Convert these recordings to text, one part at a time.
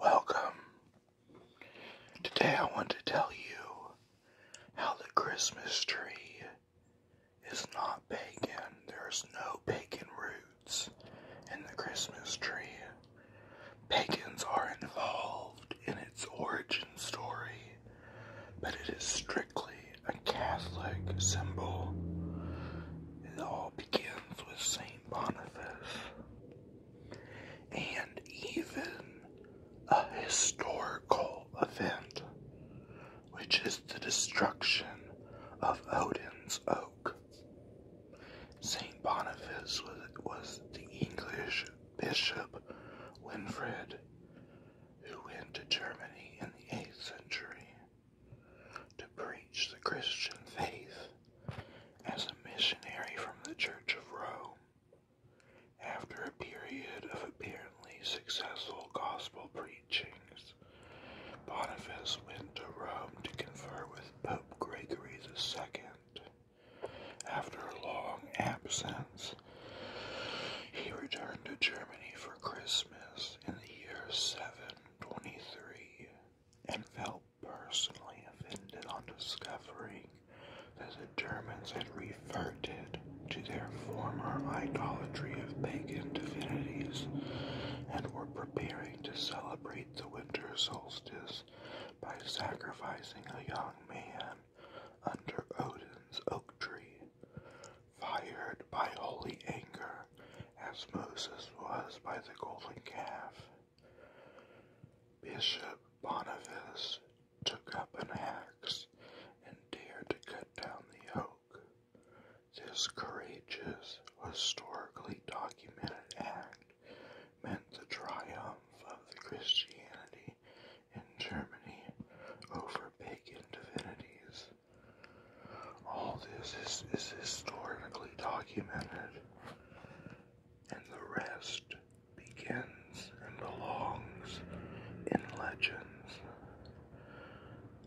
Welcome. Today I want to tell you how the Christmas tree is not pagan. There's no pagan roots in the Christmas tree. Pagans are involved in its origin story, but it is strictly a Catholic symbol. All begins with Saint Boniface and even a historical event, which is the destruction of Odin's Oak. Saint Boniface was, the English bishop Winfrid who went to Germany in the 8th century to preach the Christian faith as a missionary from the Church of Rome. After a period of apparently successful gospel preachings, Boniface went to Rome to confer with Pope Gregory II. After a long absence, he returned to Germany for Christmas in the year 723 and felt personally offended on discovering that the Germans had reverted to their former idolatry of pagan divinities and were preparing to celebrate the winter solstice by sacrificing a young man under Odin's oak tree, fired by holy anger as Moses was by the golden calf. Bishop Boniface took up an axe and dared to cut down the oak. This courageous, historically documented act meant the triumph of the Christianity in Germany over pagan divinities. All this is, is historically documented, and the rest begins and belongs in legends,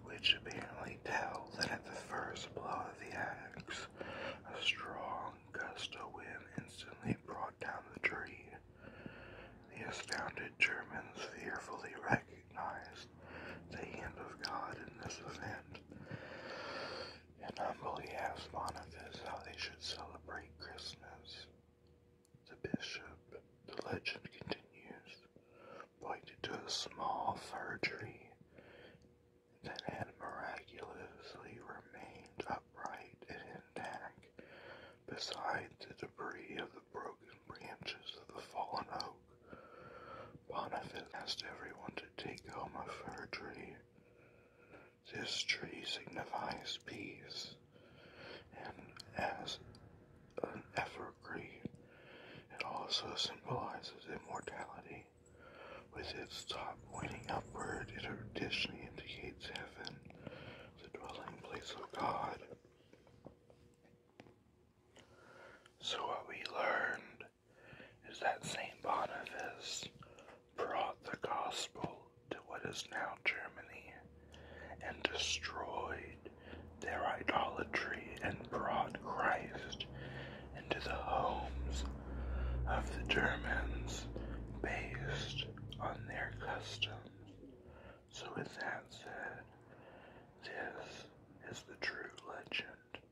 which apparently tell that at the first blow of the axe, a strong gust of wind instantly brought down the tree. The astounded Germans fearfully recognized the hand of God in this event, and humbly asked Boniface how they should celebrate Christmas. The bishop, the legend continues, pointed to a small fir tree that had miraculously remained upright and intact beside the debris of the broken branches of the fallen oak. Boniface asked everyone to take home a fir tree. This tree signifies peace, and as an evergreen. It also symbolizes immortality, with its top pointing upward. It traditionally indicates heaven, the dwelling place of God. So, what we learned is that St. Boniface brought the gospel to what is now Germany and destroyed their idolatry and brought Christ into the homes of the Germans based on their customs. So, with that said, this is the true legend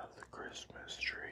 of the Christmas tree.